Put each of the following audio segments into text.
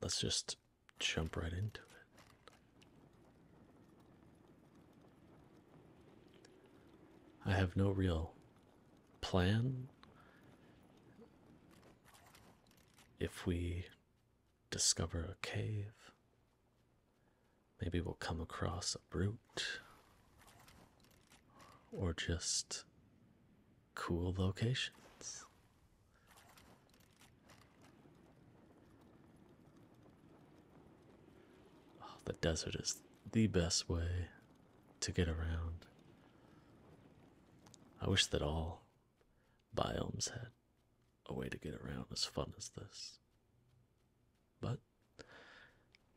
let's just jump right into it. I have no real plan. If we discover a cave, maybe we'll come across a brute or just cool locations. Oh, the desert is the best way to get around. I wish that all biomes had a way to get around as fun as this. But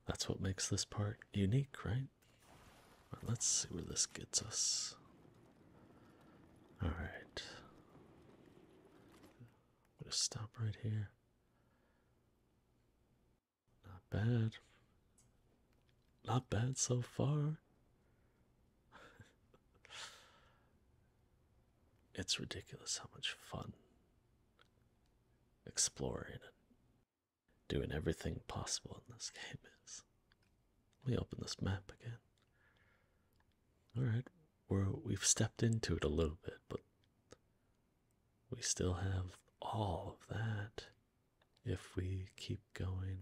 that's what makes this part unique, right? let's see where this gets us. All right. I'm going to stop right here. Not bad. Not bad so far. it's ridiculous how much fun exploring and doing everything possible in this game is. Let me open this map again. Alright, we have stepped into it a little bit, but we still have all of that if we keep going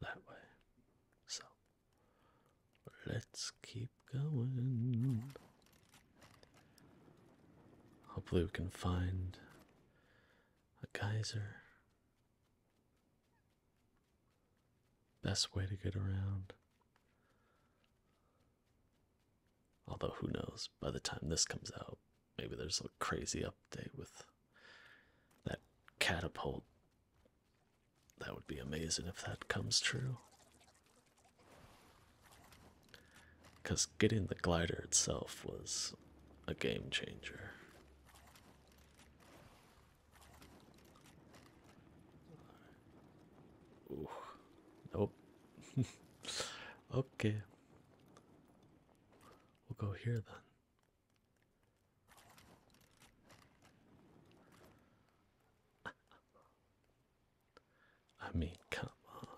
that way. So let's keep going. Hopefully, we can find a geyser Best way to get around. Although, who knows? By the time this comes out, maybe there's a crazy update with that catapult. That would be amazing if that comes true. Because getting the glider itself was a game changer. Oh, Nope. okay. We'll go here then. I mean, come on.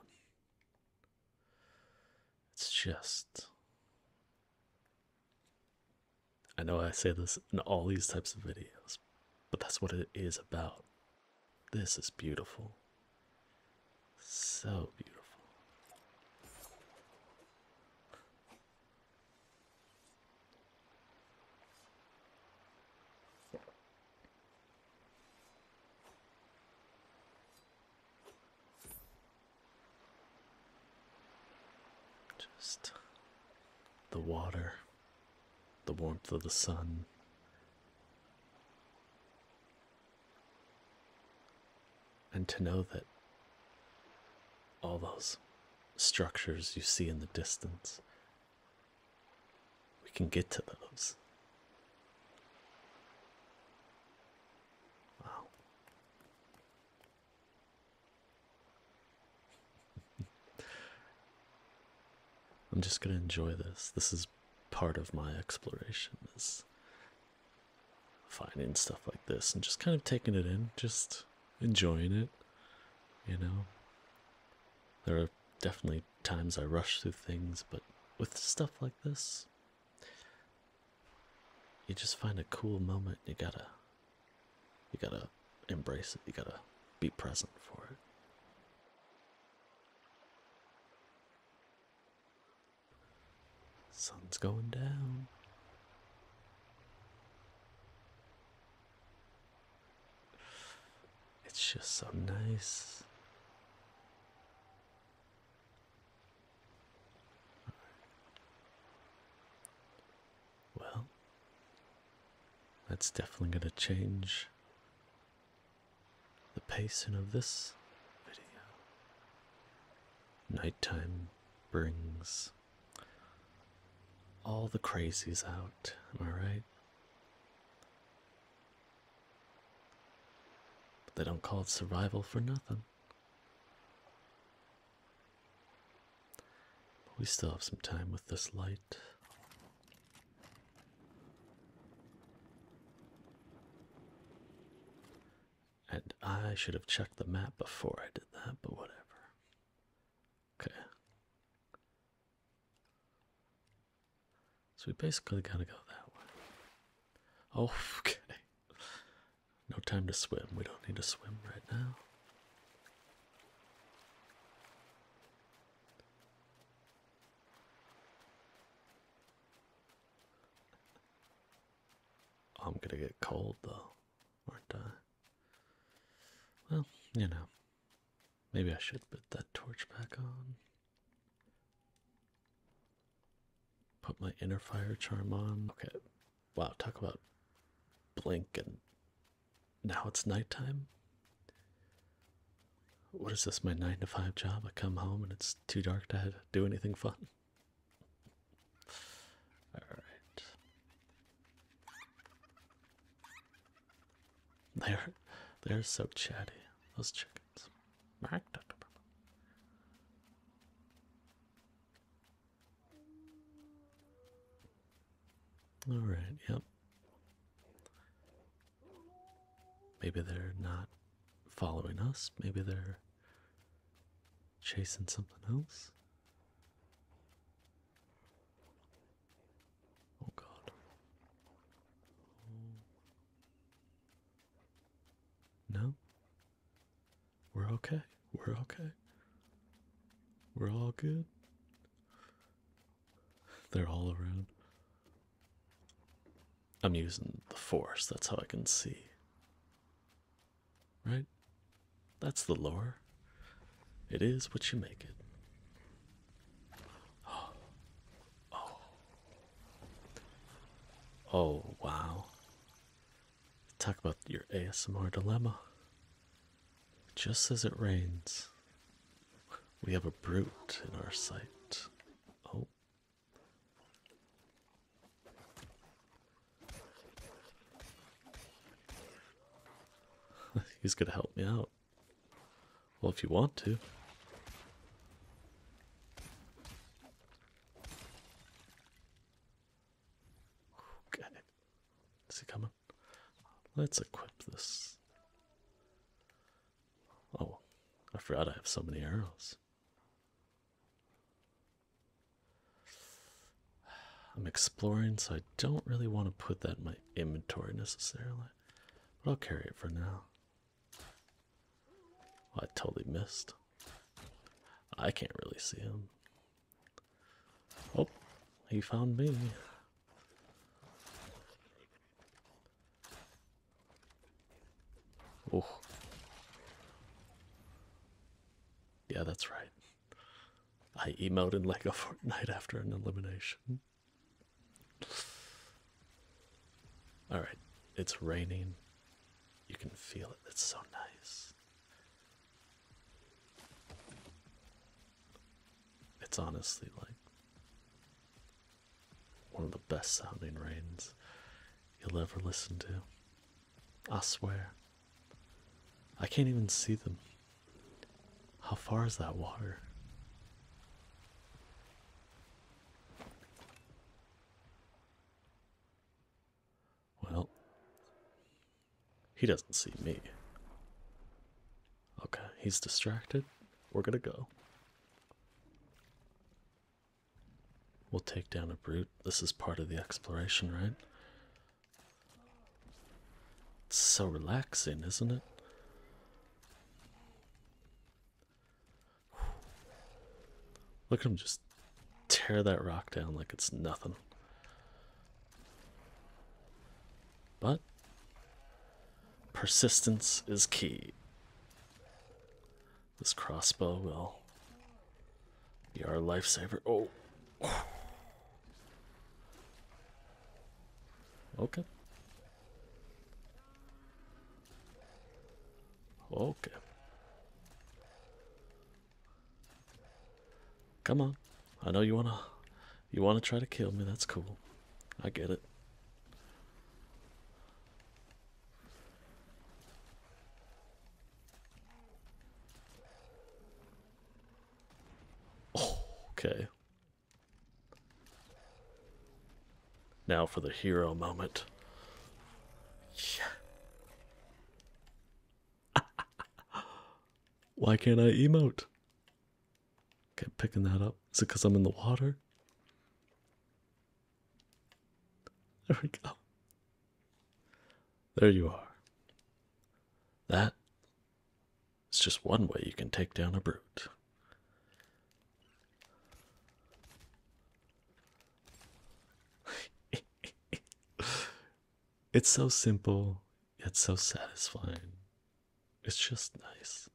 It's just I know I say this in all these types of videos, but that's what it is about. This is beautiful. So beautiful. Just the water, the warmth of the sun. And to know that all those structures you see in the distance, we can get to those. Wow. I'm just going to enjoy this. This is part of my exploration is finding stuff like this and just kind of taking it in, just enjoying it, you know. There are definitely times I rush through things, but with stuff like this, you just find a cool moment, you gotta you gotta embrace it, you gotta be present for it. Sun's going down. It's just so nice. Well, that's definitely going to change the pacing of this video. Nighttime brings all the crazies out, am I right? they don't call it survival for nothing. But we still have some time with this light. And I should have checked the map before I did that, but whatever. Okay. So we basically gotta go that way. Oh, okay. No time to swim. We don't need to swim right now. Oh, I'm gonna get cold though, aren't I? Well, you know, maybe I should put that torch back on. Put my inner fire charm on. Okay, wow, talk about blink and now it's nighttime. What is this, my nine to five job? I come home and it's too dark to do anything fun. Alright. They're they're so chatty, those chickens. All right, yep. Maybe they're not following us. Maybe they're chasing something else. Oh, God. No? We're okay. We're okay. We're all good. They're all around. I'm using the force, that's how I can see. Right? That's the lore. It is what you make it. Oh. Oh. Oh, wow talk about your ASMR dilemma. Just as it rains, we have a brute in our sight. Oh. He's gonna help me out. Well, if you want to. Okay. Is he coming? Let's equip this. Oh, I forgot I have so many arrows. I'm exploring, so I don't really want to put that in my inventory necessarily, but I'll carry it for now. I totally missed. I can't really see him. Oh, he found me. Oh. Yeah, that's right. I emote in a fortnight after an elimination. Alright, it's raining. You can feel it. It's so nice. It's honestly like one of the best sounding rains you'll ever listen to. I swear. I can't even see them. How far is that water? Well, he doesn't see me. Okay, he's distracted. We're gonna go. We'll take down a brute. This is part of the exploration, right? It's so relaxing, isn't it? Look at him just tear that rock down like it's nothing. But persistence is key. This crossbow will be our lifesaver. Oh. Okay. Okay. Come on. I know you wanna you wanna try to kill me, that's cool. I get it. Oh, okay. Now for the hero moment. Yeah. Why can't I emote? Kept picking that up. Is it because I'm in the water? There we go. There you are. That. It's just one way you can take down a brute. It's so simple, yet so satisfying. It's just nice.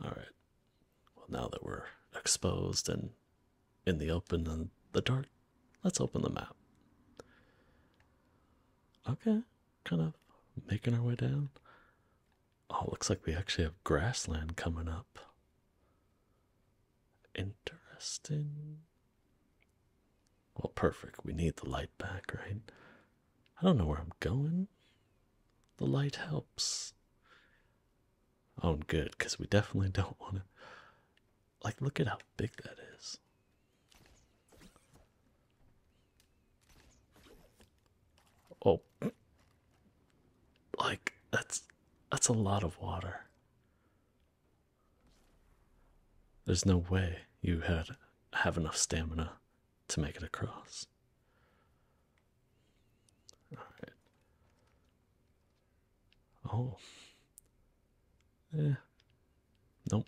Alright. Well, now that we're exposed and in the open and the dark, let's open the map. Okay, kind of making our way down. Oh, looks like we actually have grassland coming up. Interesting. Well, perfect. We need the light back, right? I don't know where I'm going. The light helps. Oh, good, because we definitely don't want to. Like, look at how big that is. Oh. Like, that's. That's a lot of water. There's no way you had have enough stamina to make it across. Oh. Yeah. Nope.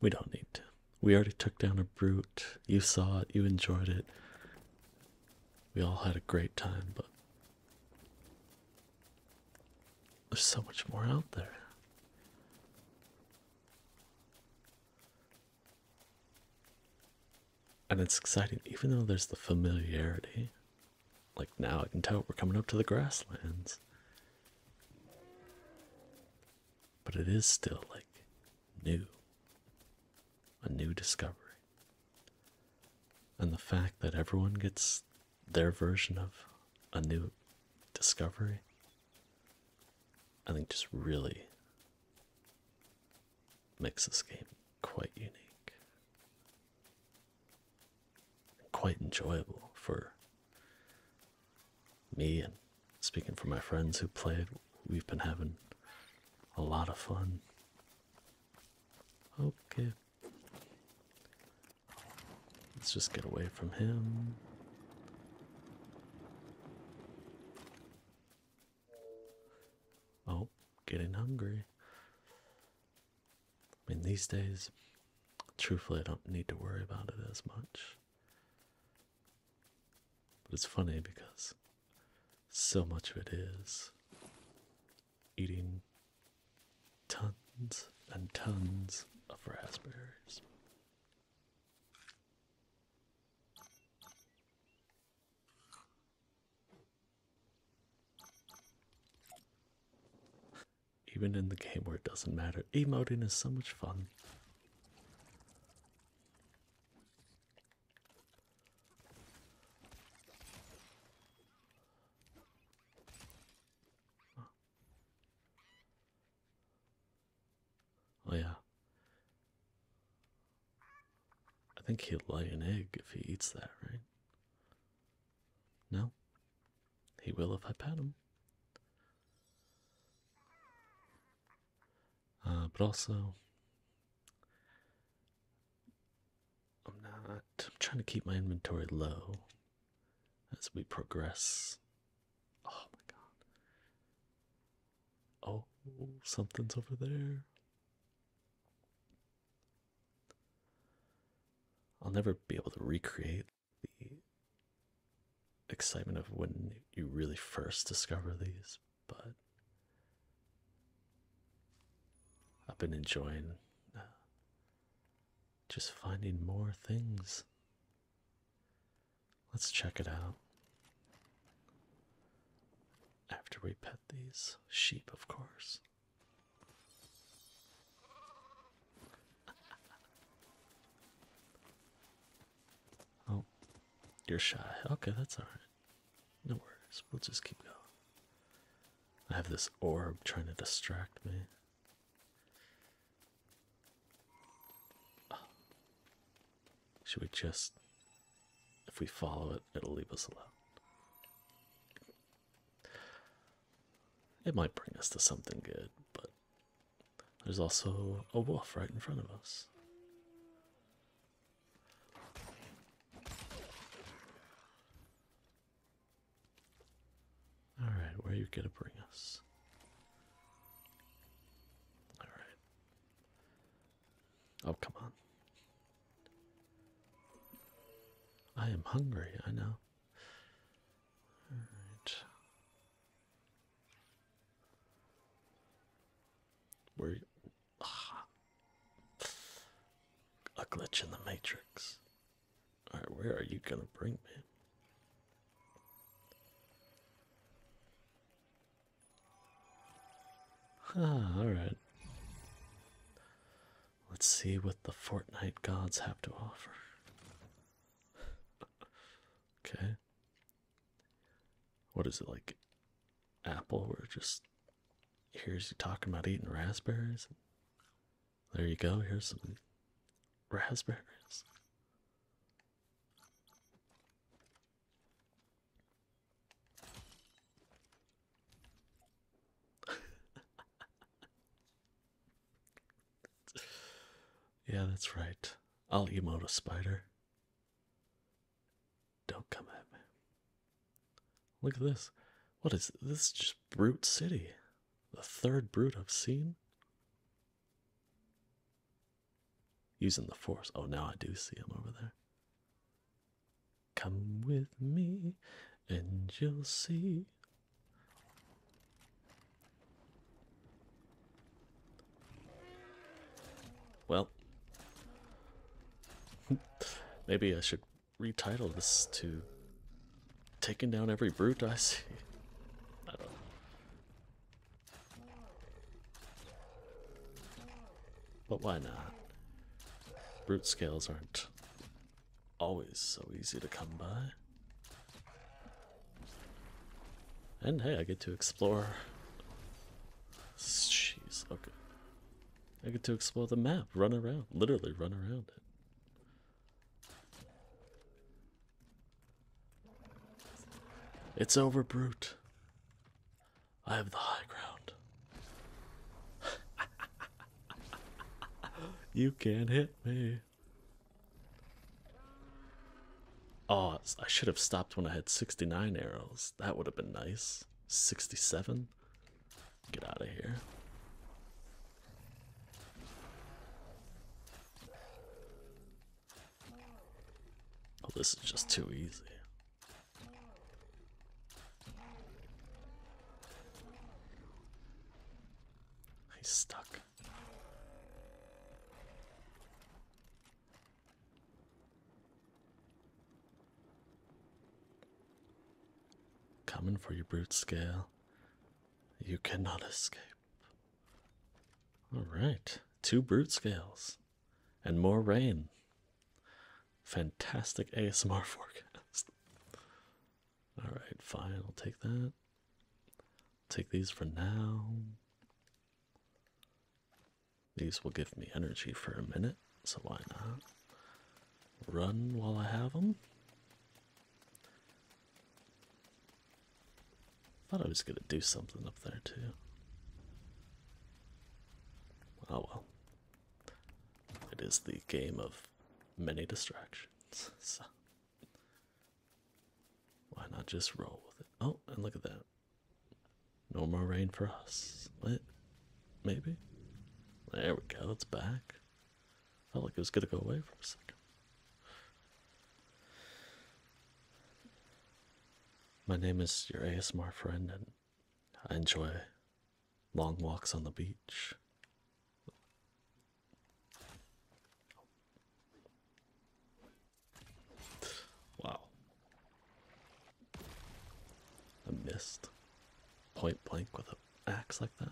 We don't need to. We already took down a brute. You saw it. You enjoyed it. We all had a great time, but there's so much more out there. And it's exciting, even though there's the familiarity. Like now I can tell we're coming up to the grasslands. But it is still like new. A new discovery. And the fact that everyone gets their version of a new discovery, I think just really makes this game quite unique. Quite enjoyable for me and speaking for my friends who played, we've been having a lot of fun. Okay, Let's just get away from him. Oh, getting hungry. I mean, these days, truthfully, I don't need to worry about it as much. But it's funny because so much of it is eating tons and tons of raspberries. Even in the game where it doesn't matter, emoting is so much fun. Oh yeah. I think he will lay an egg if he eats that, right? No? He will if I pat him. Uh, but also, I'm not. I'm trying to keep my inventory low as we progress. Oh my god. Oh, something's over there. I'll never be able to recreate the excitement of when you really first discover these, but I've been enjoying uh, just finding more things. Let's check it out. After we pet these sheep, of course. oh, you're shy. Okay, that's alright. No worries. We'll just keep going. I have this orb trying to distract me. Should we just. If we follow it, it'll leave us alone. It might bring us to something good, but there's also a wolf right in front of us. Alright, where are you gonna bring us? Alright. Oh, come on. I am hungry, I know. Alright. Where ah. a glitch in the matrix. All right, where are you gonna bring me? Ah, all right. Let's see what the Fortnite gods have to offer. okay. What is it like? Apple, We're just here's you talking about eating raspberries? There you go. Here's some raspberries. yeah, that's right. I'll emote a spider. Don't come at me. Look at this. What is this? just Brute City. The third Brute I've seen. Using the force. Oh, now I do see him over there. Come with me and you'll see. Well, maybe I should retitle this to taking down every brute I see. But why not? Brute scales aren't always so easy to come by. And hey, I get to explore. Jeez, okay. I get to explore the map, run around, literally run around it. It's over, Brute. I have the high ground. you can't hit me. Oh, I should have stopped when I had 69 arrows. That would have been nice. 67? Get out of here. Oh, this is just too easy. He's stuck. Coming for your brute scale. You cannot escape. All right, two brute scales and more rain. Fantastic ASMR forecast. All right, fine, I'll take that. Take these for now. These will give me energy for a minute, so why not? Run while I have them. Thought I was gonna do something up there too. Oh well. It is the game of many distractions, so why not just roll with it? Oh, and look at that. No more rain for us. What? Maybe? There we go, it's back. Felt like it was gonna go away for a second. My name is your ASMR friend, and I enjoy long walks on the beach. Wow. I missed point blank with a acts like that.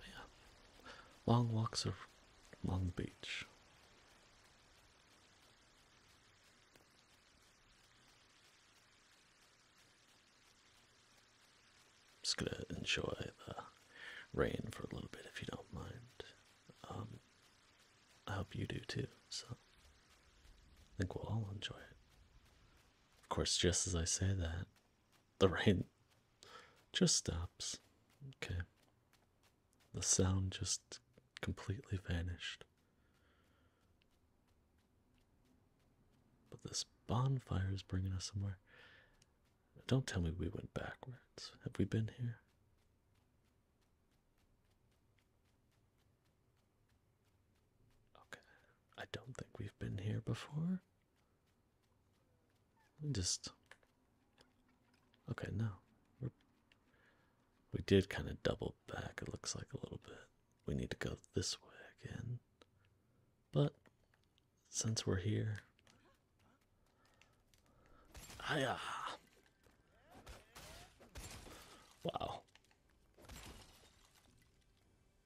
yeah, long walks of Long Beach. Just gonna enjoy the rain for a little bit if you don't mind. Um, I hope you do too, so I think we'll all enjoy it. Of course, just as I say that, the rain just stops. Okay. The sound just completely vanished. But this bonfire is bringing us somewhere. Don't tell me we went backwards. Have we been here? Okay. I don't think we've been here before. We just. Okay, no. we did kind of double back, it looks like a little bit. We need to go this way again. But since we're here. Hiya! Wow,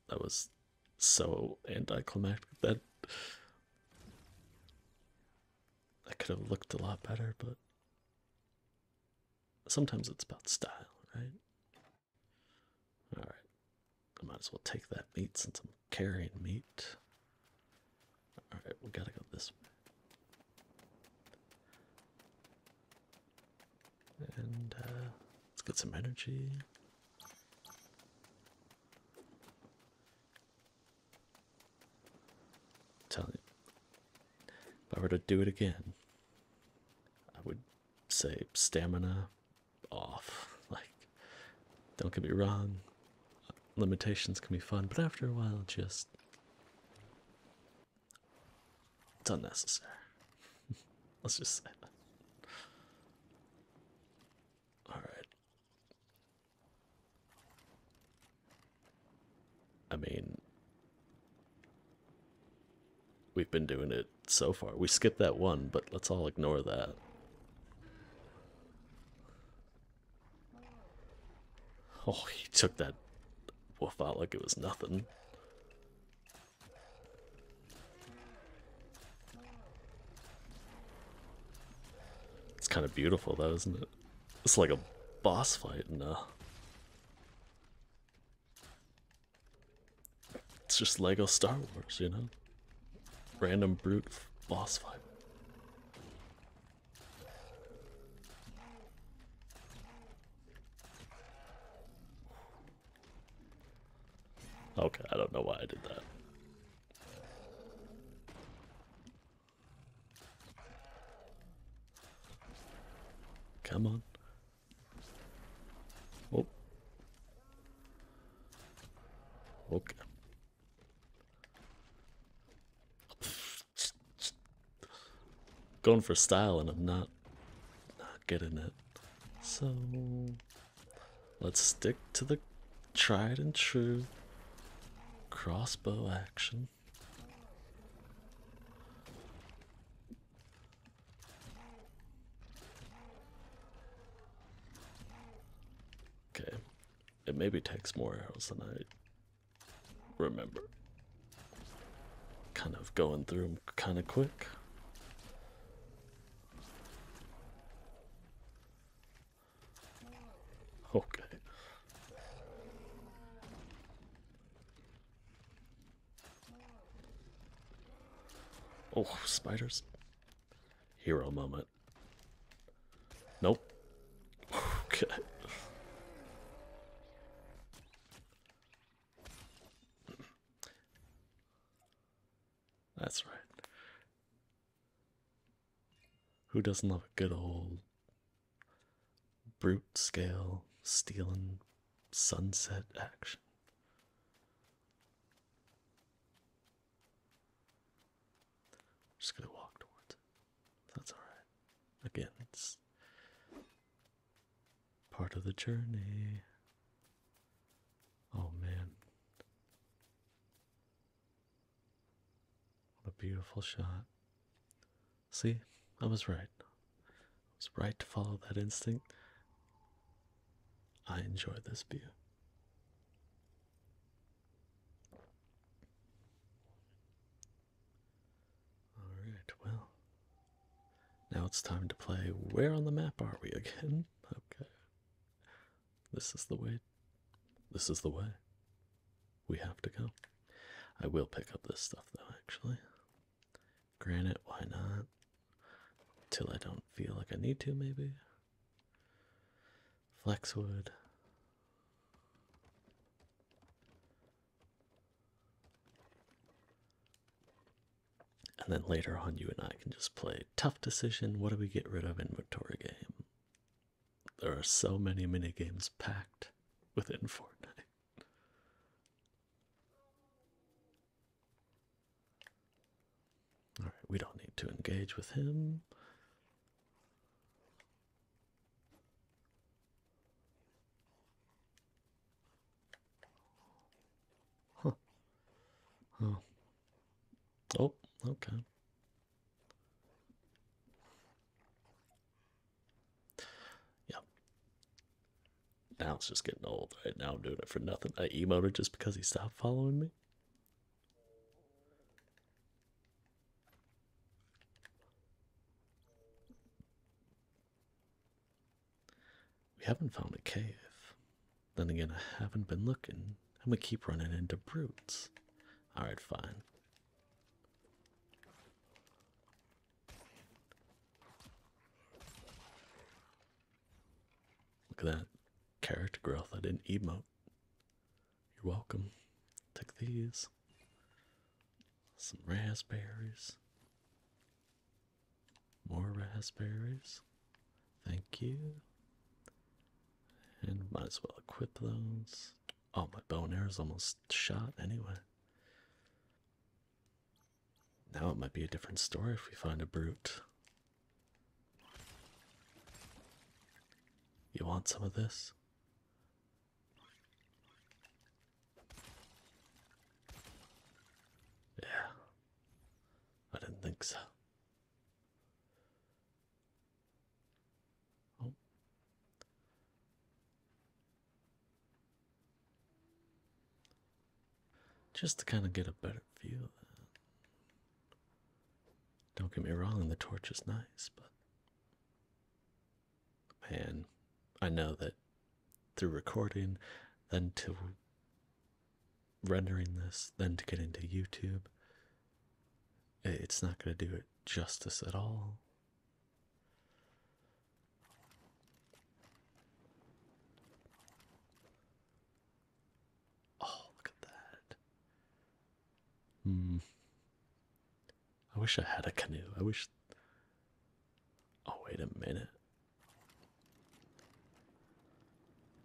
that was so anticlimactic that I could have looked a lot better, but sometimes it's about style, right? All right. I might as well take that meat since I'm carrying meat. All right, we gotta go this way. And uh, let's get some energy. Tell you, if I were to do it again, I would say stamina off. Like, don't get me wrong, limitations can be fun, but after a while, just it's unnecessary. Let's just say Alright. I mean, we've been doing it so far. We skipped that one, but let's all ignore that. Oh, he took that wolf out like it was nothing. It's kind of beautiful though, isn't it? It's like a boss fight in uh, It's just Lego Star Wars, you know? Random brute boss fight. Okay, I don't know why I did that. Come on. Oh. Okay. Going for style and I'm not not getting it. So let's stick to the tried and true crossbow action. Okay, it maybe takes more arrows than I remember kind of going through them kind of quick. Okay. Oh, spiders. Hero moment. Nope. Okay. That's right. Who doesn't love a good old brute scale stealing sunset action? just gonna walk towards That's alright. Again, part of the journey. Oh man. What a beautiful shot. See, I was right. It was right to follow that instinct. I enjoy this view. Alright, well. Now it's time to play Where on the Map Are We Again? Okay. This is the way. This is the way. We have to go. I will pick up this stuff though, actually. Granite, why not? Till I don't feel like I need to, maybe. Flexwood. And then later on, you and I can just play tough decision. What do we get rid of? in Inventory game. There are so many mini games packed within Fortnite. All right, we don't need to engage with him. Huh. Oh. Oh, okay. Yeah. Now it's just getting old, right? Now I'm doing it for nothing. I emoted just because he stopped following me. We haven't found a cave. Then again, I haven't been looking. I'm gonna keep running into brutes. Alright, fine. Look at that. Character growth. I didn't emote. You're welcome. Take these. Some raspberries. More raspberries. Thank you. And might as well equip those. Oh, my bow and arrow's almost shot anyway. Now it might be a different story if we find a brute. You want some of this? Yeah. I didn't think so. Oh. Just to kind of get a better feel of that. Don't get me wrong, the torch is nice, but man, I know that through recording, then to rendering this, then to get into YouTube. It's not going to do it justice at all. Oh, look at that. Hmm. I wish I had a canoe. I wish. Oh, wait a minute.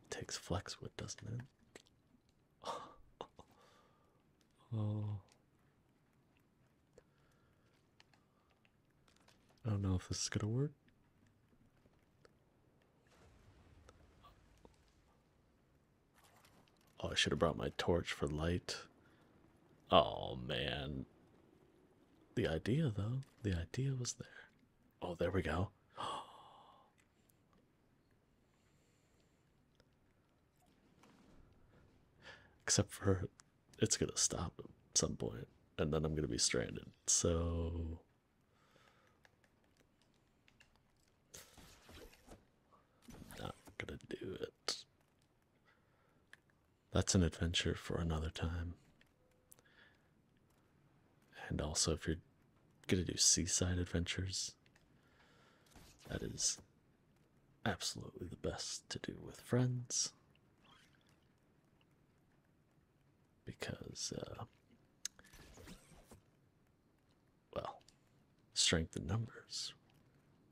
Takes Flexwood, doesn't it? oh. I don't know if this is gonna work. Oh, I should have brought my torch for light. Oh man. The idea, though, the idea was there. Oh, there we go. Except for it's going to stop at some point, and then I'm going to be stranded. So. Not gonna do it that's an adventure for another time. And also, if you're going to do seaside adventures, that is absolutely the best to do with friends. Because, uh, well, strength in numbers,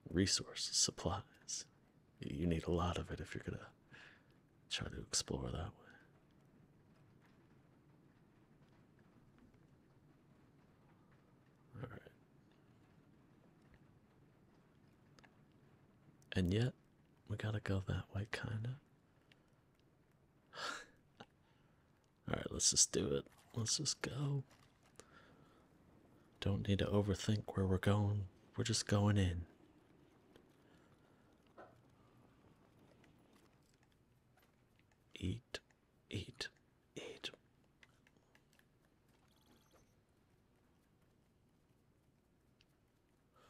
resources, supplies. You need a lot of it if you're going to try to explore that way. All right. And yet, we gotta go that way, kinda. Alright, let's just do it. Let's just go. Don't need to overthink where we're going. We're just going in. Eat, eat, eat.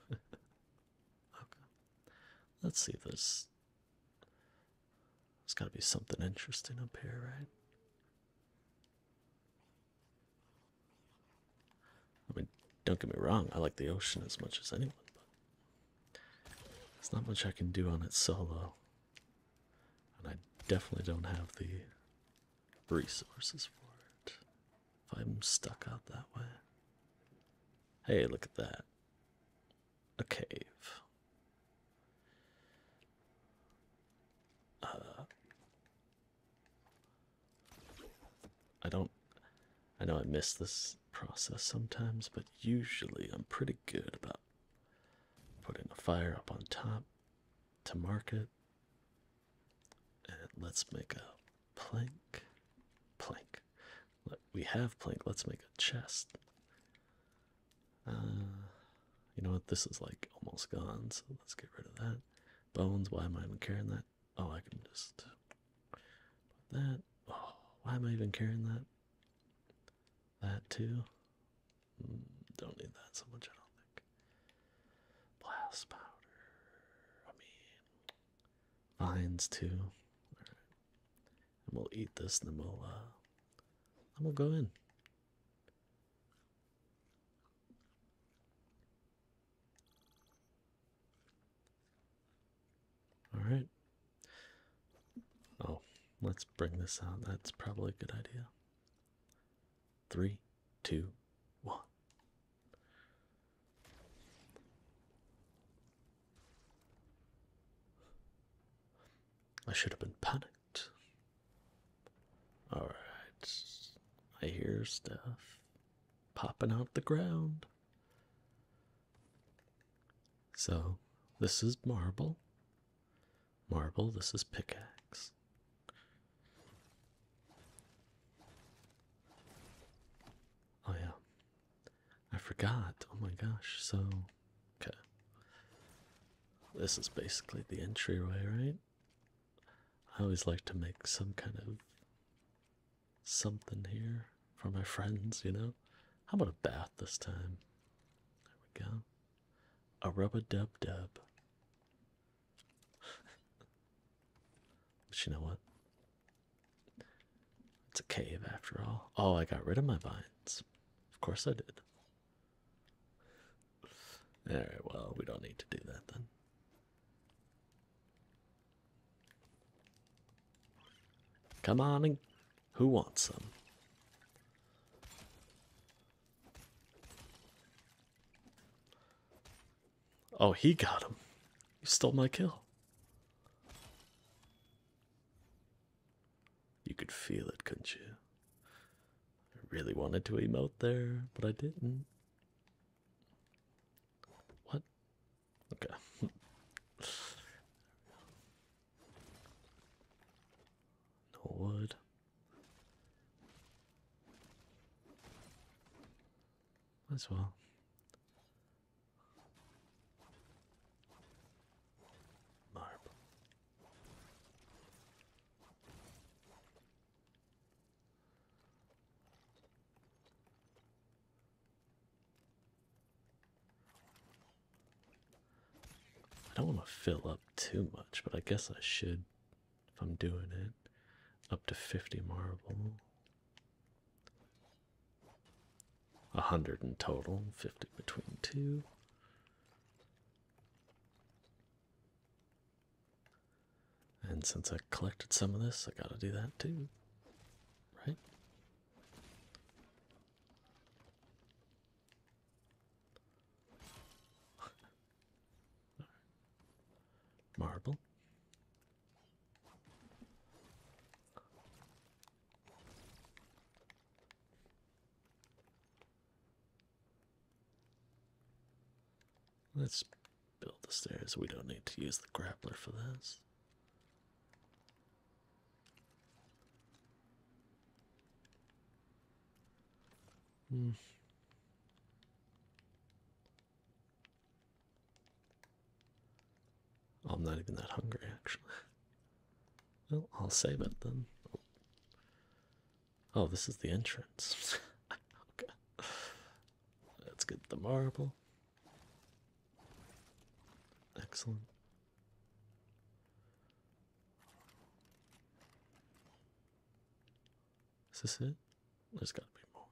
okay. Let's see this. There's got to be something interesting up here, right? I mean, don't get me wrong, I like the ocean as much as anyone, but there's not much I can do on it solo. And I definitely don't have the resources for it. If I'm stuck out that way. Hey, look at that. A cave. Uh, I don't. I know I miss this process sometimes, but usually I'm pretty good about putting a fire up on top to mark it. And let's make a plank. Plank. We have plank. Let's make a chest. Uh, you know what? This is like almost gone, so let's get rid of that. Bones, why am I even carrying that? Oh, I can just put that. Oh, why am I even carrying that? That too. Mm, don't need that so much, I don't think. Blast powder. I mean, vines too. All right. And we'll eat this, and then we'll uh, we'll go in. All right. Oh, let's bring this out. That's probably a good idea. Three, two, one. I should have been panicked. Alright. I hear stuff popping out the ground. So, this is marble. Marble, this is pickaxe. Oh, yeah. I forgot. Oh my gosh. So, okay. This is basically the entryway, right? I always like to make some kind of something here for my friends, you know? How about a bath this time? There we go. A rub a dub dub. but you know what? It's a cave after all. Oh, I got rid of my vines. Of course I did. Alright, well, we don't need to do that then. Come on and who wants them? Oh, he got him. You stole my kill. You could feel it, couldn't you? I really wanted to emote there, but I didn't. What? Okay. no wood. as well. Marble. I don't want to fill up too much, but I guess I should if I'm doing it. Up to 50 marble. 100 in total, 50 between two. And since I collected some of this, I gotta do that too. Right? Marble. Let's build the stairs. We don't need to use the grappler for this. Hmm. I'm not even that hungry, actually. Well, I'll save it then. Oh, this is the entrance. Oh, Let's get the marble. Excellent. Is this it? There's got to be more.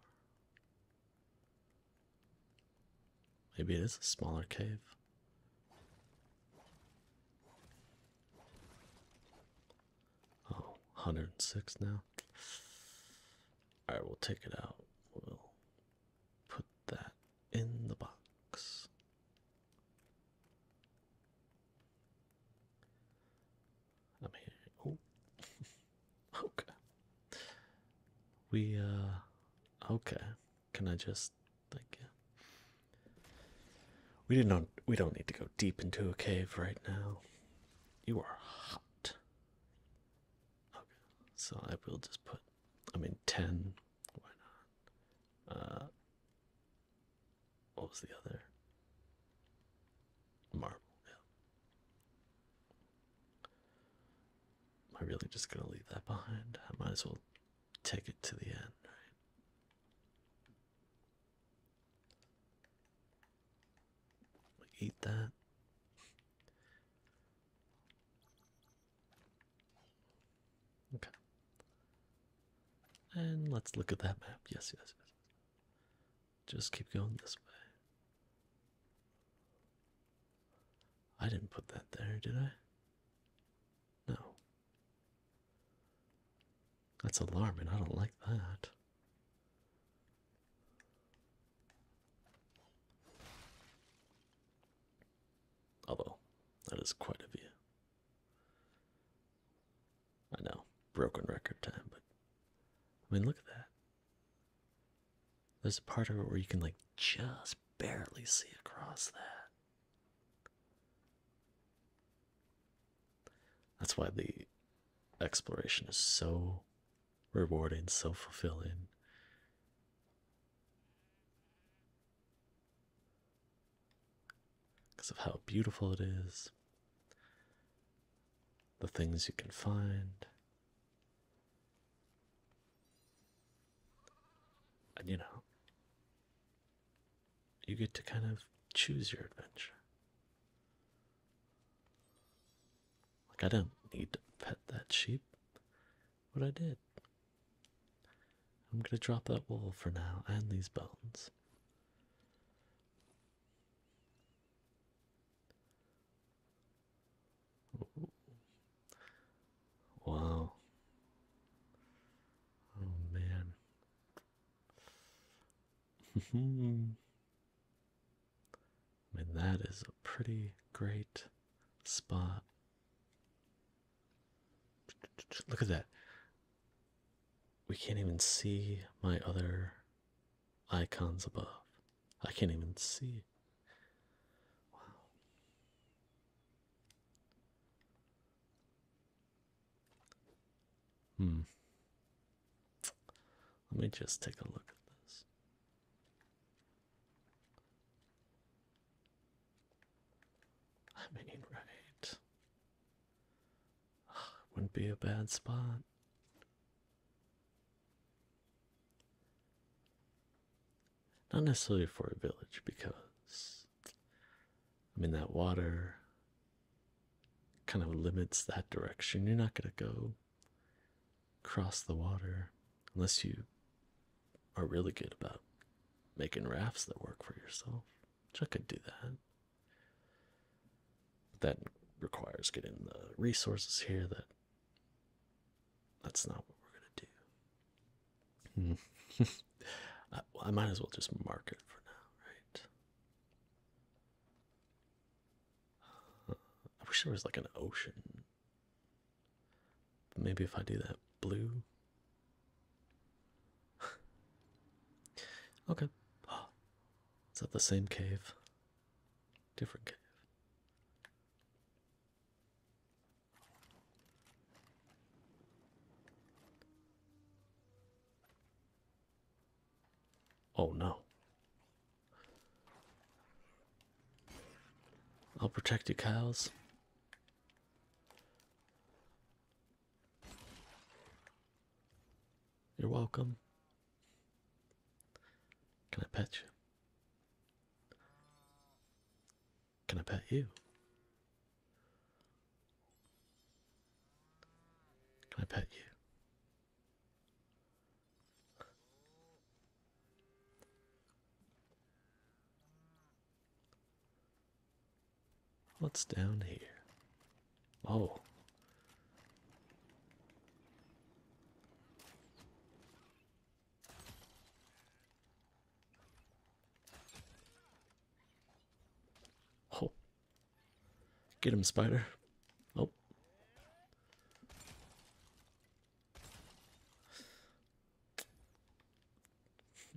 Maybe it is a smaller cave. Oh, 106 now. All right, we'll take it out. We'll put that in the box. I'm here. Oh, okay. We, uh, okay. Can I just, like, yeah. We didn't. We don't need to go deep into a cave right now. You are hot. Okay, so I will just put, I mean, 10, why not? Uh, what was the other? Marble, yeah. Am I really just gonna leave that behind? I might as well take it to the end, right? Eat that. Okay. And let's look at that map. Yes, yes, yes. Just keep going this way. I didn't put that there, did I? No. That's alarming. I don't like that. Although, that is quite a view. I know, broken record time, but I mean, look at that. There's a part of it where you can, like, just barely see across that. That's why the exploration is so rewarding, self fulfilling. Because of how beautiful it is, the things you can find, and you know, you get to kind of choose your adventure. Like, I do not need to pet that sheep, What I did. I'm gonna drop that wool for now and these bones. Wow. Oh man. Hmm. I mean, that is a pretty great spot. Look at that. We can't even see my other icons above. I can't even see. Wow. Hmm. Let me just take a look at this. I mean, right. Ah, wouldn't be a bad spot. Not necessarily for a village because, I mean, that water kind of limits that direction. You're not going to go cross the water unless you are really good about making rafts that work for yourself, which I could do that. But that requires getting the resources here that that's not what we're gonna do. I, I might as well just mark it for now, right? I wish there was like an ocean. maybe if I do that blue. okay. is that the same cave? Different cave. Oh no. I'll protect you, cows. You're welcome. Can I pet you? Can I pet you? Can I pet you? What's down here? Oh. Oh. Get him, spider. Oh.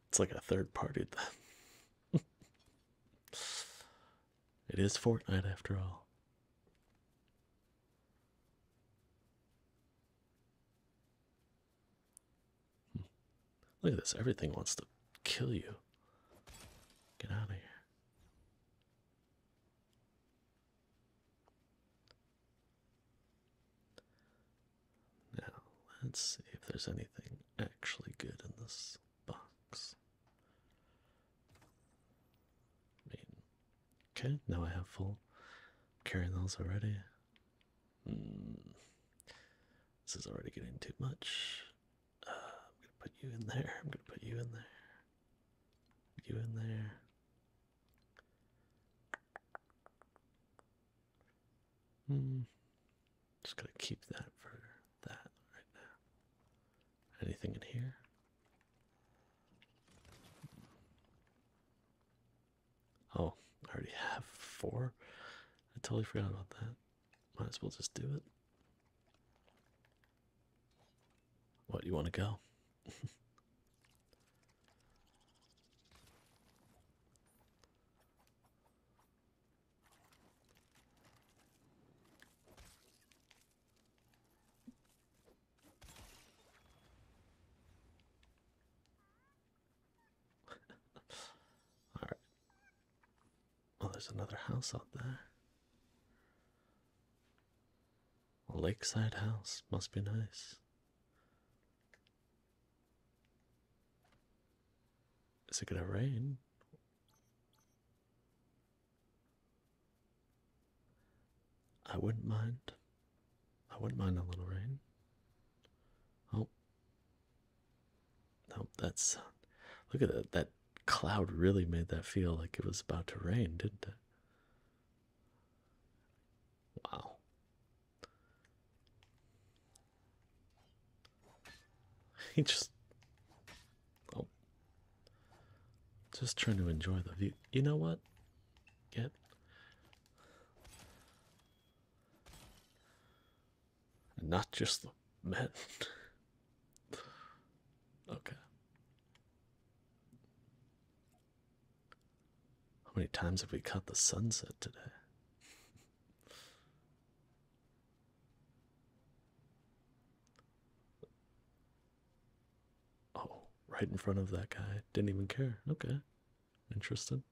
It's like a third party. it is Fortnite after all. Hmm. Look at this, everything wants to kill you. Get out of here. Now, let's see if there's anything actually good in this box. okay, now I have full. Carrying those already. Hmm. this is already getting too much. Uh, I'm gonna put you in there. I'm gonna put you in there. You in there. Hmm. Just gonna keep that for that right now. Anything in here? Oh, I already have four. I totally forgot about that. Might as well just do it. What do you want to go? All right. Well, there's another house out there. A lakeside house must be nice. Is it gonna rain? I wouldn't mind. I wouldn't mind a little rain. Oh. Nope, that's. Look at that. That cloud really made that feel like it was about to rain, didn't it? Wow. He just oh, just trying to enjoy the view. You know what? Get. And not just the men. okay. How many times have we caught the sunset today? Oh, right in front of that guy. Didn't even care. Okay. interested.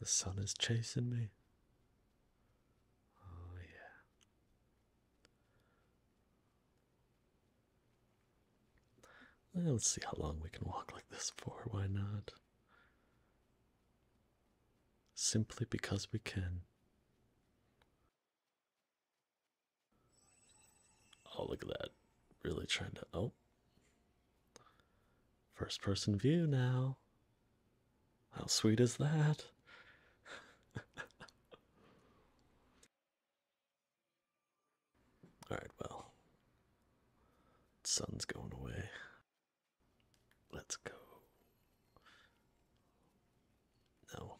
The sun is chasing me. Oh, yeah. let's see how long we can walk like this for. Why not? Simply because we can. Oh, look at that. Really trying to. Oh, First person view now. How sweet is that? Alright, well, sun's going away. Let's go. No,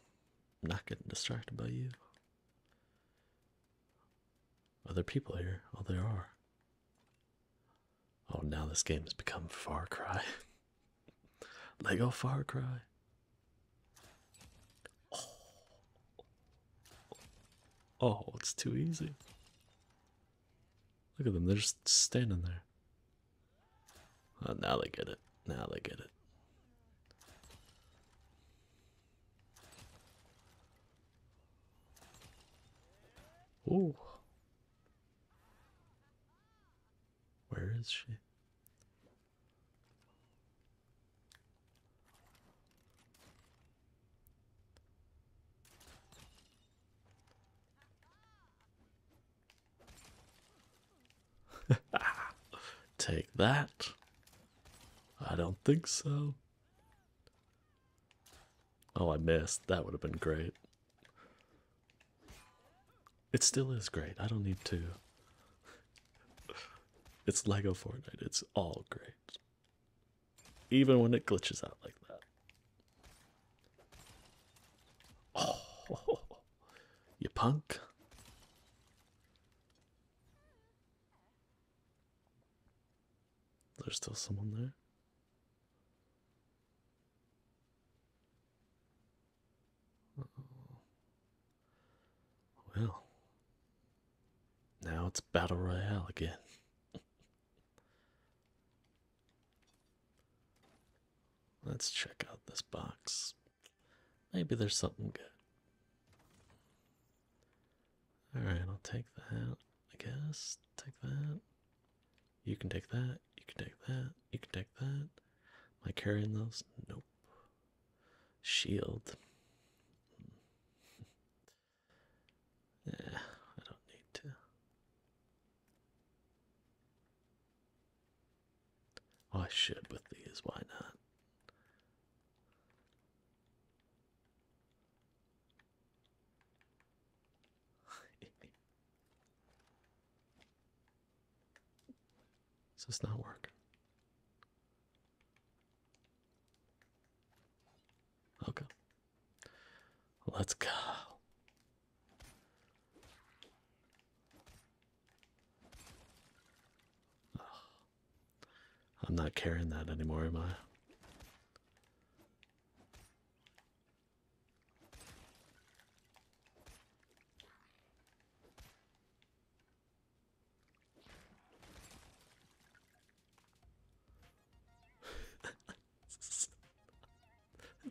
I'm not getting distracted by you. Other people here. Oh, there are. Oh, now this game has become Far Cry. Lego Far Cry. Oh. oh, it's too easy. Look at them, they're just standing there. Oh, now they get it. Now they get it. Oh, where is she? Take that. I don't think so. Oh, I missed. That would have been great. It still is great. I don't need to. It's Lego Fortnite. It's all great. Even when it glitches out like that. Oh, you punk. There's still someone there. Well, now it's Battle Royale again. Let's check out this box. Maybe there's something good. Alright, I'll take that, I guess. Take that. You can take that. You can take that. You can take that. My carrying those? Nope. Shield. yeah, I don't need to. Oh, I should with these. Why not? Does not work? Okay. Let's go. I'm not carrying that anymore, am I?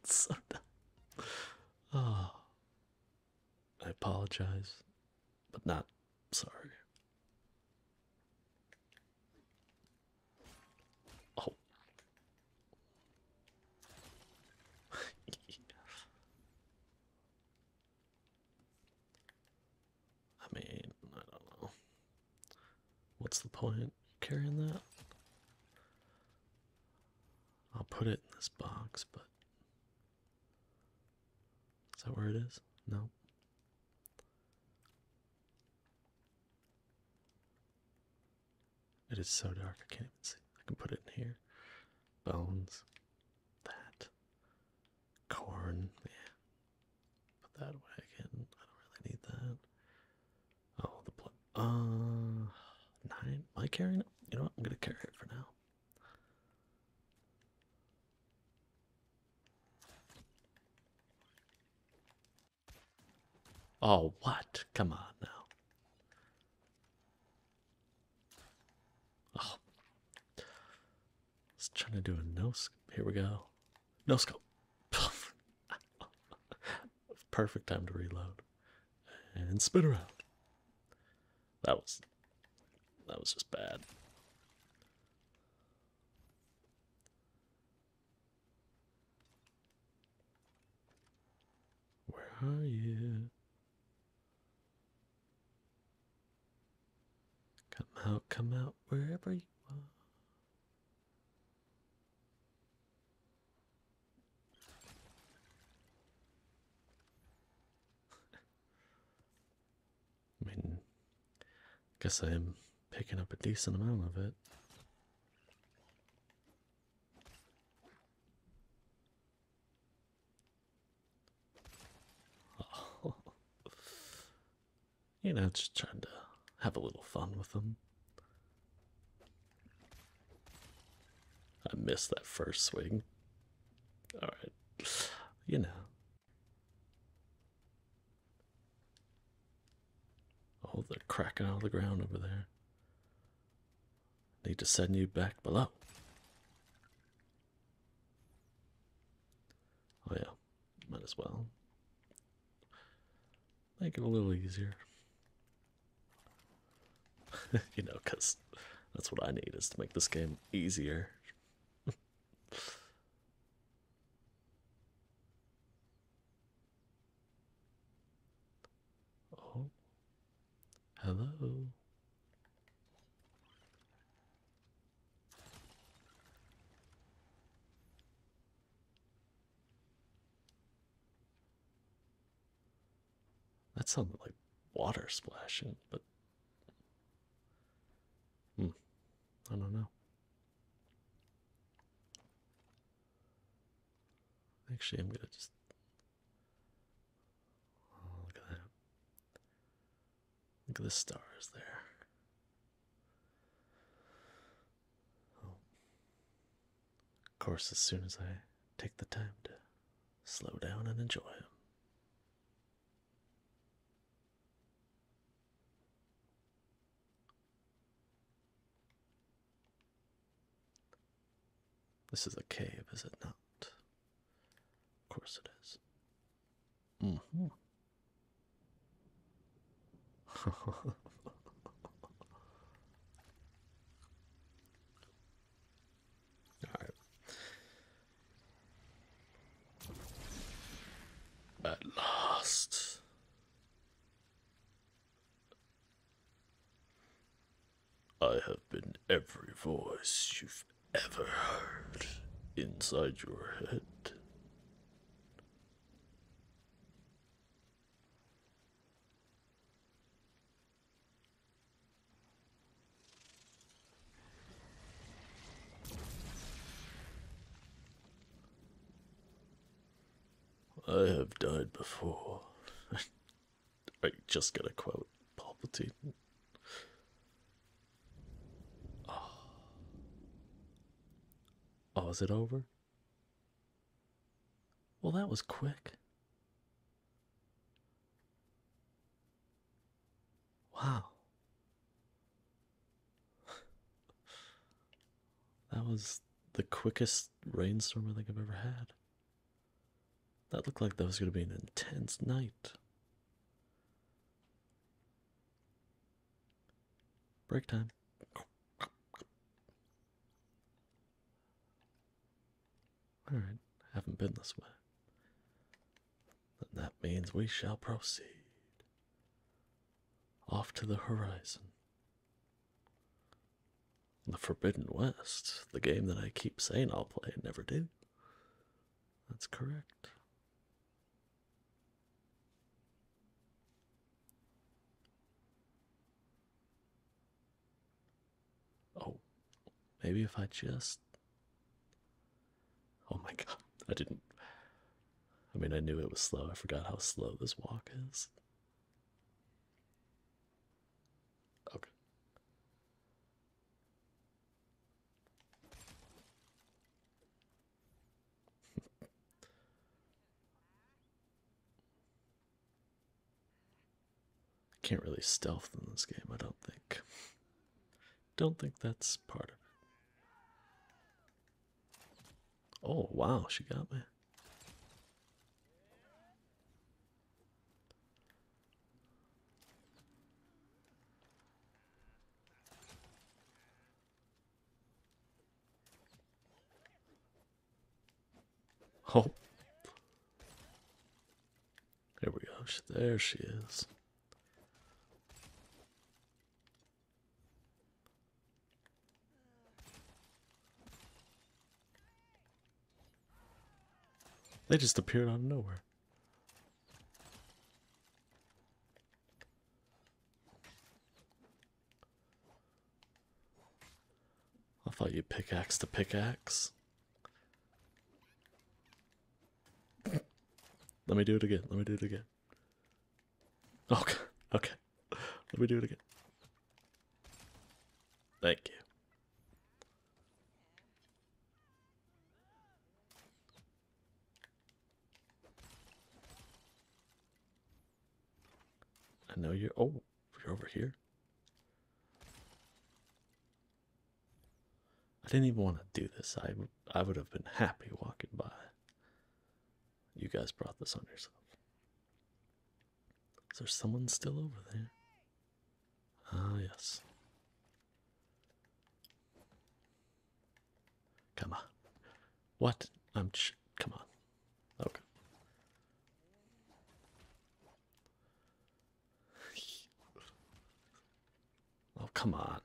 so dumb. Oh, I apologize, but not sorry. Oh. I mean, I don't know. What's the point carrying that? I'll put it in this box, but is that where it is? No. It is so dark I can't even see. I can put it in here. Bones. That. Corn. Yeah. Put that away again. I don't really need that. Oh, the Uh, nine. Am carrying it? You know what? I'm gonna carry it for now. Oh, what? Come on now. Oh. trying to do a no scope. Here we go. No scope. Perfect time to reload. And spin around. That was that was just bad. Where are you? Come out, come out, wherever you are. I mean, guess I am picking up a decent amount of it. you know, just trying to have a little fun with them. I missed that first swing. Alright. You know. Oh, they're cracking out of the ground over there. Need to send you back below. Oh, yeah, might as well make it a little easier. you know, because that's what I need is to make this game easier. Oh, hello. That sounded like water splashing, but hmm, I don't know. Actually, I'm gonna just oh, look at that. Look at the stars there. Oh. Of course, as soon as I take the time to slow down and enjoy them. This is a cave, is it not? Of course it is. Mm -hmm. All right. At last, I have been every voice you've ever heard inside your head. I have died before. I just gotta quote Palpatine. Oh. Ah. oh, is it over? Well, that was quick. Wow. That was the quickest rainstorm I think I've ever had. That looked like that was going to be an intense night. Break time. Alright, haven't been this way. Then that means we shall proceed. Off to the horizon. The Forbidden West, the game that I keep saying I'll play and never do. That's correct. Oh, maybe if I just. Oh my god, I didn't. I mean, I knew it was slow. I forgot how slow this walk is. Okay. Can't really stealth in this game, I don't think. Don't think that's part of it. Oh, wow, she got me. Oh. There we go. There she is. They just appeared out of nowhere. I thought you pickaxe to pickaxe. Let me do it again. Let me do it again. Okay. Okay. Let me do it again. Thank you. I know you're. Oh, you're over here. I didn't even want to do this. I, I would have been happy walking by. You guys brought this on yourself. Is there someone still over there? Ah, yes. Come on. What? I'm. Ch come on. Okay. oh, come on.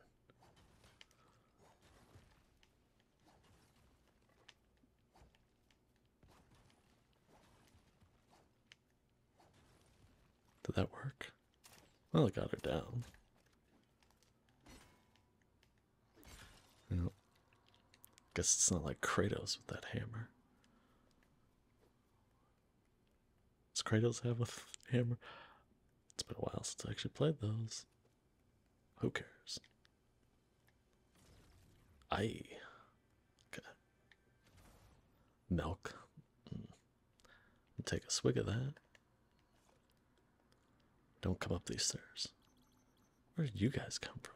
Did that work? Well, I got her down. You guess it's not like Kratos with that hammer. Does Kratos have a hammer? It's been a while since I actually played those. Who cares? I okay. Milk. Mm. Take a swig of that. Don't come up these stairs. Where would you guys come from?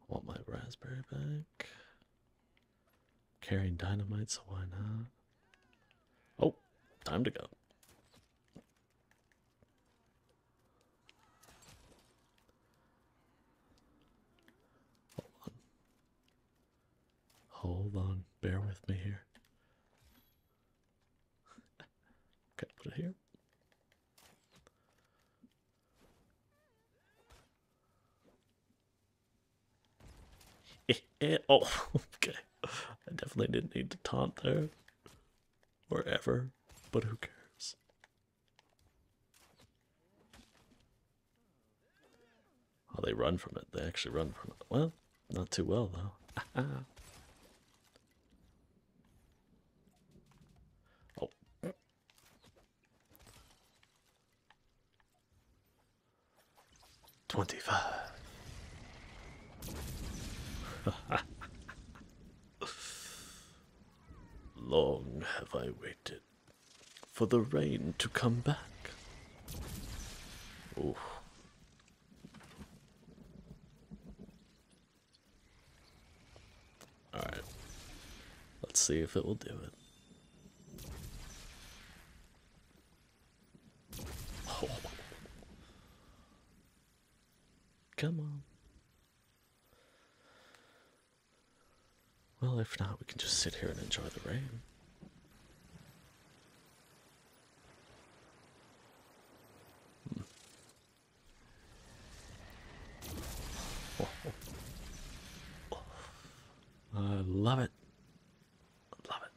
I want my raspberry back. Carrying dynamite, so why not? Oh, time to go. Hold on. Hold on. Bear with me here. okay, put it here. oh, okay. I definitely didn't need to taunt there or ever, but who cares? How oh, they run from it. They actually run from it. Well, not too well, though. oh. Twenty-five. Long have I waited for the rain to come back. Alright. Let's see if it will do it. Come on. Well, if not, we can just sit here and enjoy the rain. Hmm. I love it. love it.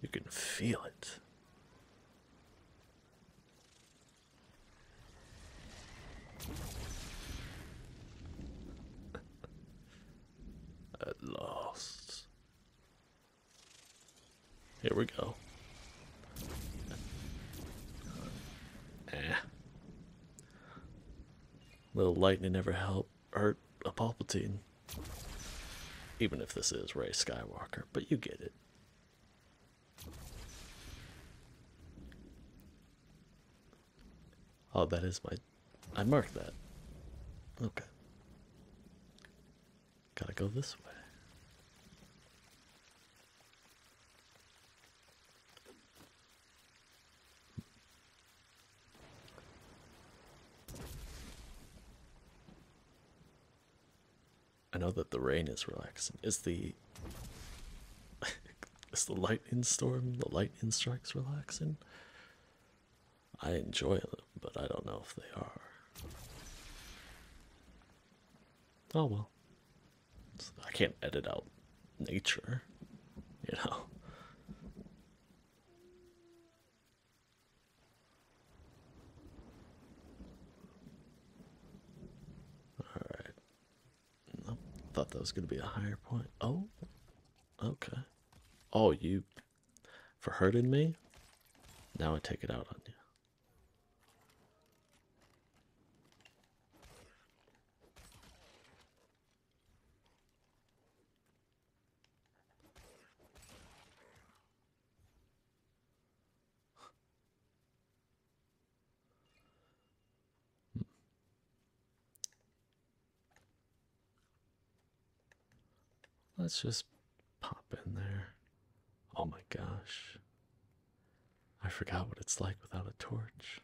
You can feel it. At last. Here we go. Eh. Little lightning never helped or a Palpatine. Even if this is Ray Skywalker, but you get it. Oh, that is my. I marked that. Okay. Gotta go this way. I know that the rain is relaxing. Is the is the lightning storm, the lightning strikes relaxing? I enjoy it, but I don't know if they are. Oh well. I can't edit out nature, you know. All right. Thought that was going to be a higher point. Oh, okay. Oh, you for hurting me? Now I take it out on you. Let's just pop in there. Oh my gosh. I forgot what it's like without a torch.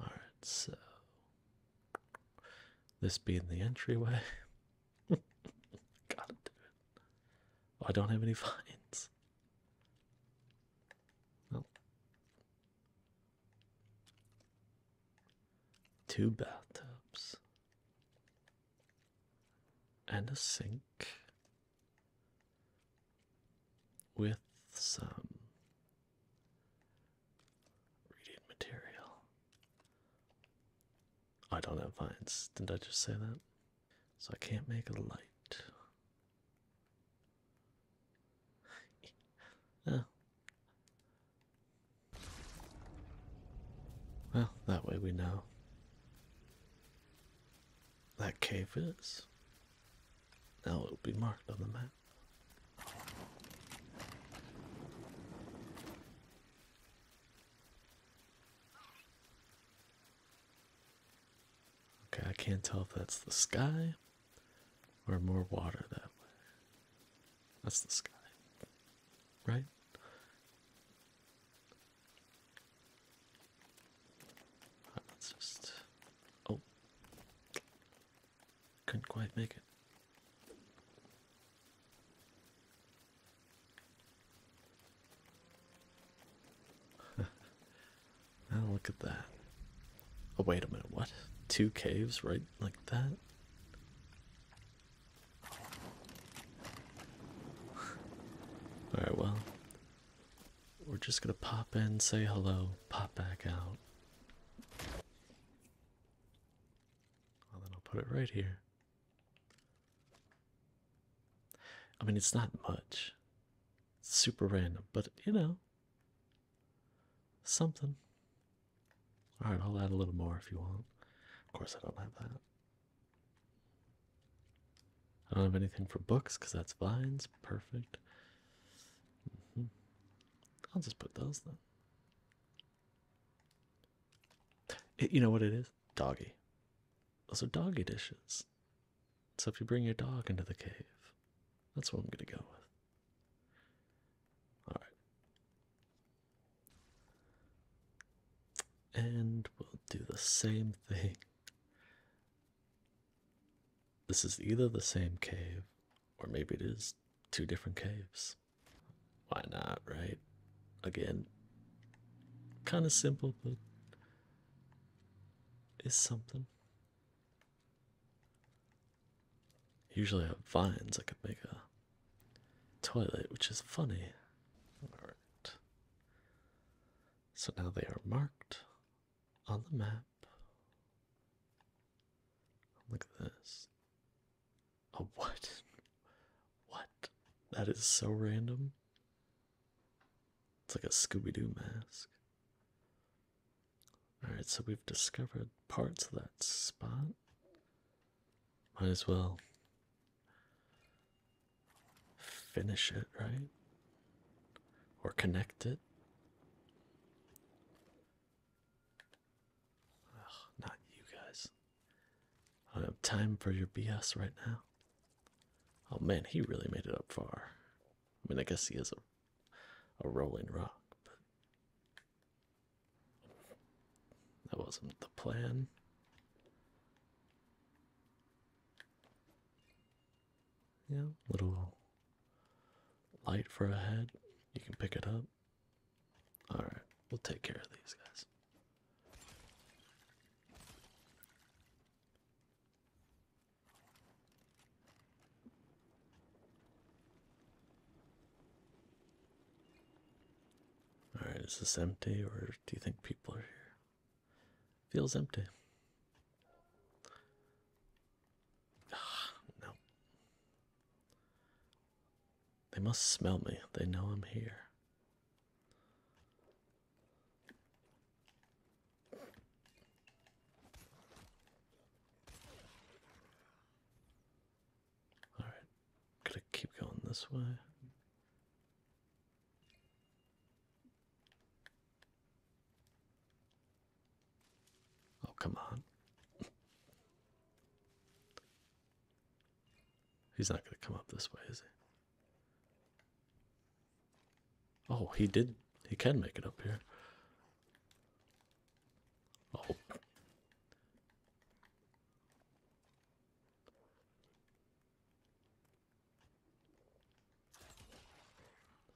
All right, so this being the entryway, gotta do it. I don't have any finds. Well, two bathtubs and a sink with some Reading material. I don't have vines. Didn't I just say that? So I can't make a light. Well, that way we know. That cave is. Now it will be marked on the map. Okay, I can't tell if that's the sky or more water that way. That's the sky, right? Let's just. Oh. Couldn't quite make it. Oh, look at that. Oh, wait a minute, what? Two caves right like that? Alright, well, we're just gonna pop in, say hello, pop back out. Well, then I'll put it right here. I mean, it's not much. super random, but you know, something. All right, I'll add a little more if you want. Of course, I don't have that. I don't have anything for books because that's vines. Perfect. Mm-hmm. I'll just put those then. you know what it is? Doggy. Those are doggy dishes. So if you bring your dog into the cave, that's what I'm going to go with. Alright. And we'll do the same thing. This is either the same cave, or maybe it is two different caves. Why not, right? Again, kind of simple, but it's something. Usually I have vines, I could make a toilet, which is funny. Alright. So now they are marked on the map. Look at this. A oh, what? what? That is so random. It's like a Scooby Doo mask. Alright, so we've discovered parts of that spot. Might as well finish it, right? Or connect it not you guys. I don't have time for your BS right now. Oh man, he really made it up far. I mean, I guess he is a, a rolling rock, but that wasn't the plan. Yeah, little Light for a head. You can pick it up. Alright, we'll take care of these guys. Alright, is this empty or do you think people are here? Feels empty. no. They must smell me. They know I'm here. All right. Gotta keep going this way. Oh, come on. He's not going to come up this way, is he? Oh, he did. He can make it up here. Oh.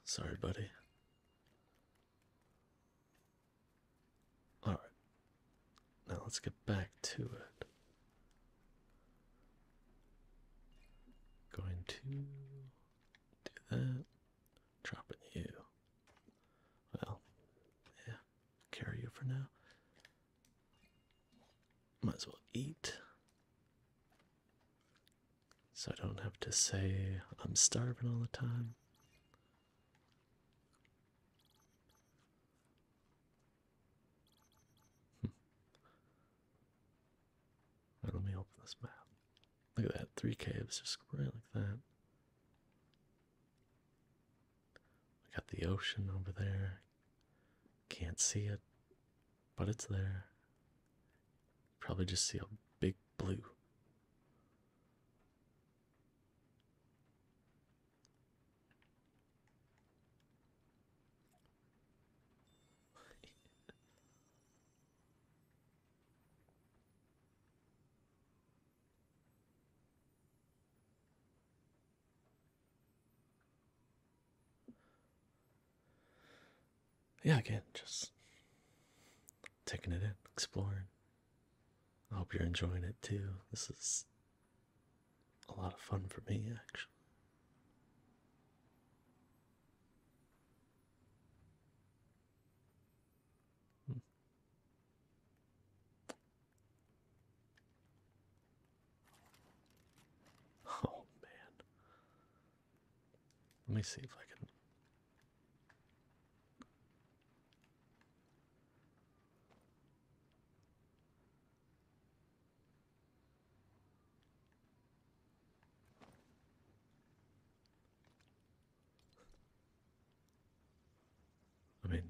Sorry, buddy. All right. Now let's get back to it. Going to do that. Dropping you. Well, yeah, carry you for now. Might as well eat. So I don't have to say I'm starving all the time. Hmm. let me open this map. Look at that, three caves just right like that. We got the ocean over there. Can't see it, but it's there. Probably just see a big blue yeah, again, just taking it in, exploring, I hope you're enjoying it too. This is a lot of fun for me, actually. Hmm. Oh man. Let me see if I can I mean,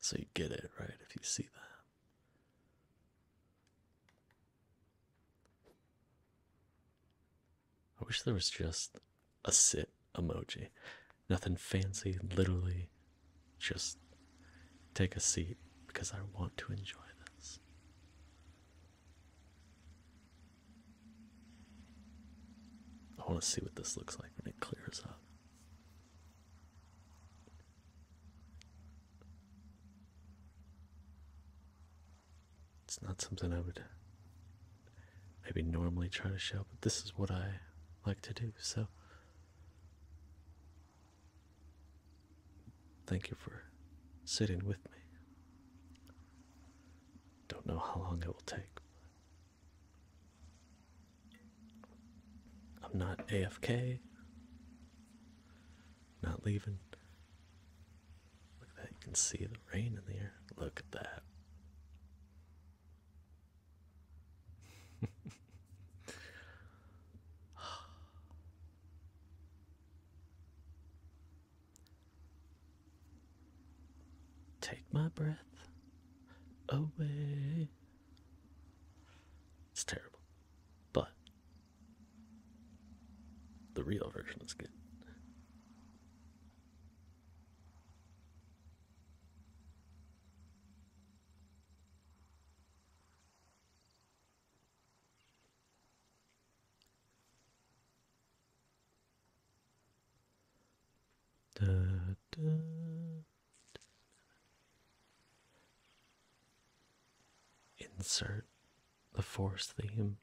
so you get it, right? If you see that. I wish there was just a sit emoji. Nothing fancy, literally just take a seat because I want to enjoy this. I want to see what this looks like when it clears up. It's not something I would maybe normally try to show, but this is what I like to do, so. Thank you for sitting with me. Don't know how long it will take. I'm not AFK. Not leaving. Look at that. You can see the rain in the air. Look at that. Take my breath away. It's terrible. But the real version is good. Insert the force theme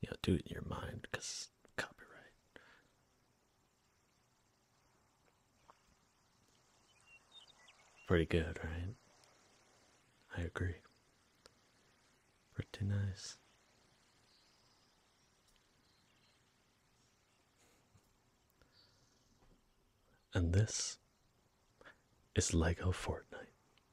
you know, do it in your mind because copyright. Pretty good, right? I agree. Pretty nice. And this is Lego Fortnite.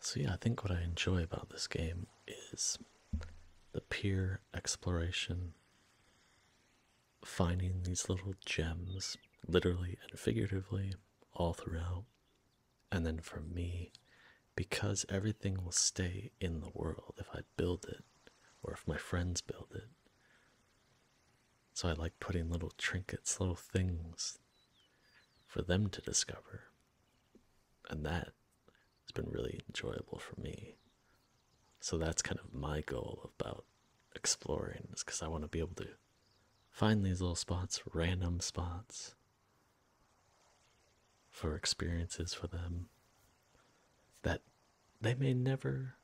So, yeah, I think what I enjoy about this game is the pure exploration, finding these little gems, literally and figuratively, all throughout. And then for me, because everything will stay in the world if I build it or if my friends build it. So I like putting little trinkets, little things for them to discover. And that has been really enjoyable for me. So that's kind of my goal about exploring, is because I want to be able to find these little spots, random spots for experiences for them that they may never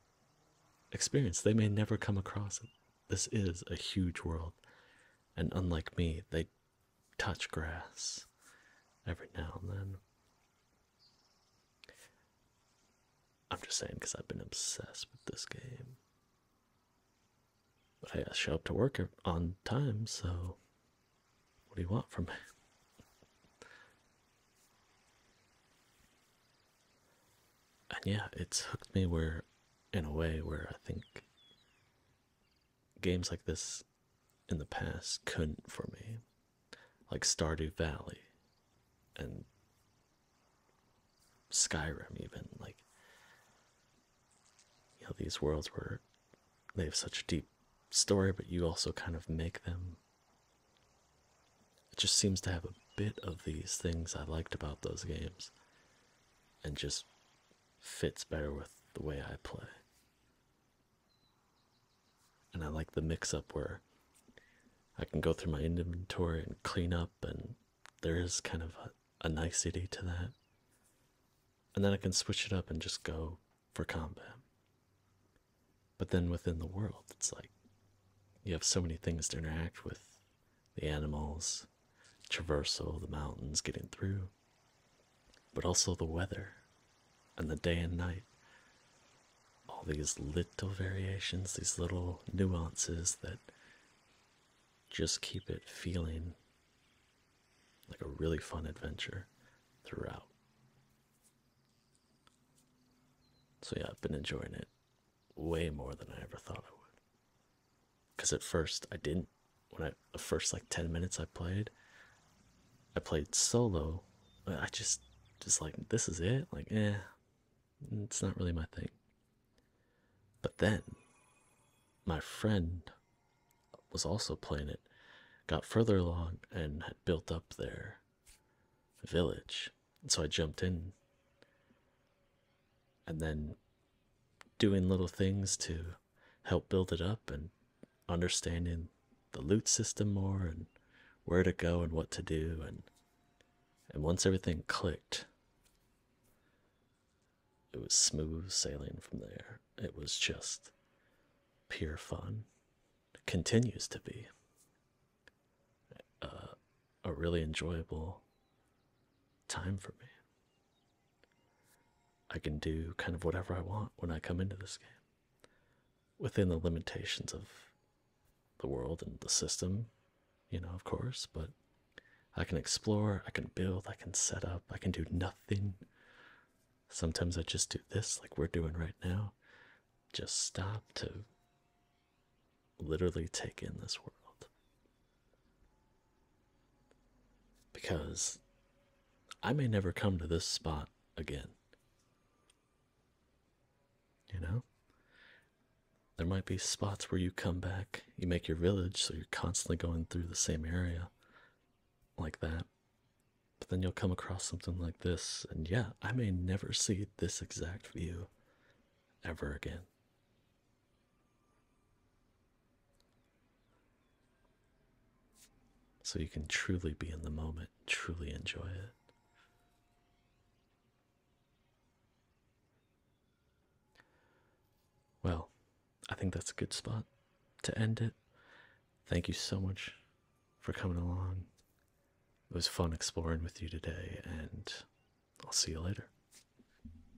experience. They may never come across This is a huge world and unlike me, they touch grass every now and then. I'm just saying because I've been obsessed with this game. But hey, I show up to work on time, so what do you want from me? And yeah, it's hooked me where in a way where I think games like this in the past couldn't for me. Like Stardew Valley and Skyrim even like you know these worlds where they have such a deep story but you also kind of make them it just seems to have a bit of these things I liked about those games and just fits better with the way I play. And I like the mix up where I can go through my inventory and clean up, and there is kind of a, nicety to that. And then I can switch it up and just go for combat. But then within the world, it's like you have so many things to interact with the animals, traversal, the mountains, getting through, but also the weather and the day and night. All these little variations, these little nuances that just keep it feeling like a really fun adventure throughout. So, yeah, I've been enjoying it way more than I ever thought I would. Because at first I didn't. When I the first like ten minutes I played, I played solo. I just just like this is it. Like eh, it's not really my thing. But then my friend was also playing it, got further along and had built up their village. And so I jumped in. And then doing little things to help build it up and understanding the loot system more and where to go and what to do and and once everything clicked it was smooth sailing from there it was just pure fun continues to be uh, a really enjoyable time for me I can do kind of whatever I want when I come into this game within the limitations of the world and the system, you know, of course, but I can explore, I can build, I can set up, I can do nothing. Sometimes I just do this, like we're doing right now. Just stop to literally take in this world. Because I may never come to this spot again. You know? There might be spots where you come back, you make your village, so you're constantly going through the same area like that. But then you'll come across something like this, and yeah, I may never see this exact view ever again. So you can truly be in the moment, truly enjoy it. Well, I think that's a good spot to end it. Thank you so much for coming along. It was fun exploring with you today, and I'll see you later.